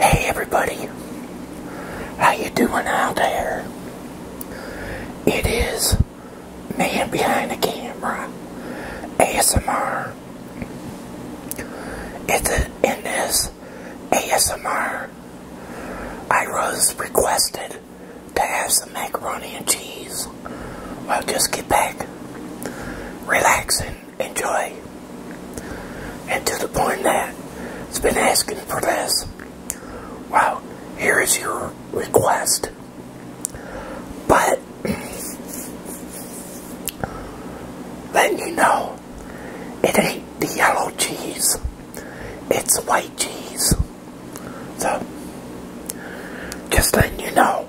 Hey everybody, how you doing out there? It is Man Behind the Camera, ASMR. It's a, in ASMR, I was requested to have some macaroni and cheese. I'll just get back, relaxing enjoy. And to the point that it's been asking for this. Wow, here is your request. But letting you know, it ain't the yellow cheese. It's white cheese. So, just letting you know.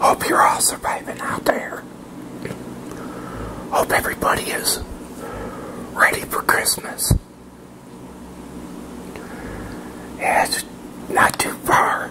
Hope you're all surviving out there. Hope everybody is ready for Christmas. Yeah, it's not too far.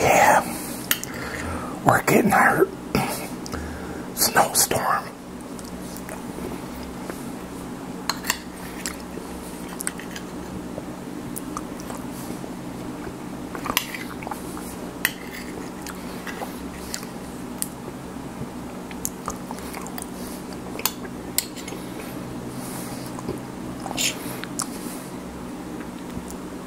Yeah, we're getting hurt snowstorm.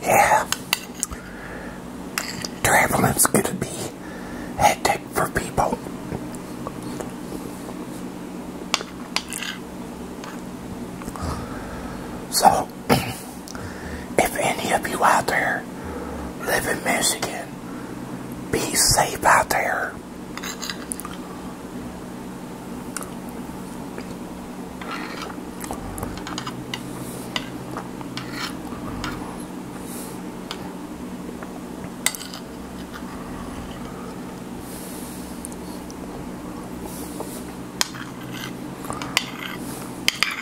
Yeah. Traveling's gonna be hectic for people. So If any of you out there live in Michigan, be safe out there.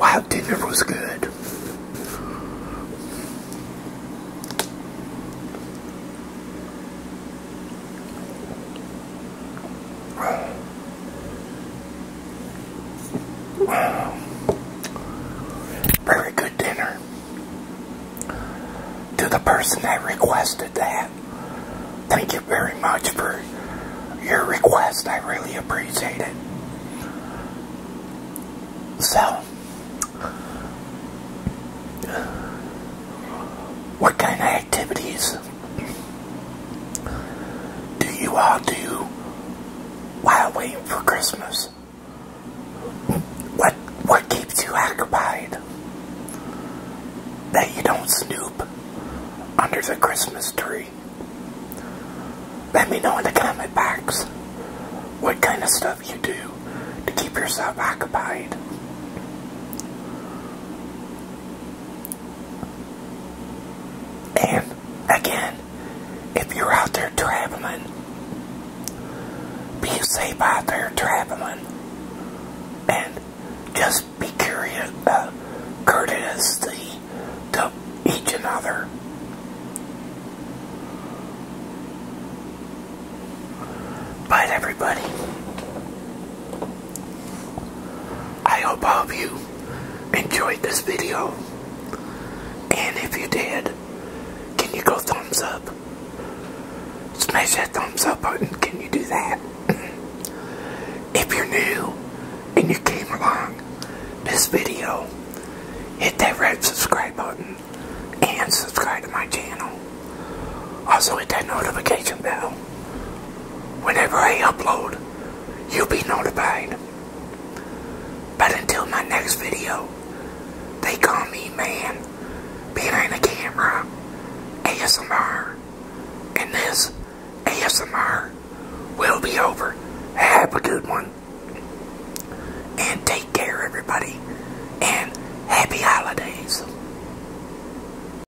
Wow, dinner was good. Very good dinner. To the person that requested that, thank you very much for your request. I really appreciate it. So, what kind of activities do you all do while waiting for Christmas? What what keeps you occupied? That you don't snoop under the Christmas tree? Let me know in the comment box what kind of stuff you do to keep yourself occupied. And again, if you're out there traveling, be safe out there traveling. And just be curious, uh, courteous to, to each other. Bye, everybody. I hope all of you enjoyed this video. And if you did, can you go thumbs up? Smash that thumbs up button. Can you do that? if you're new and you came along this video, hit that red subscribe button and subscribe to my channel. Also hit that notification bell Whenever I upload, you'll be notified. But until my next video, they call me man behind the camera, ASMR, and this ASMR will be over. Have a good one. And take care, everybody. And happy holidays.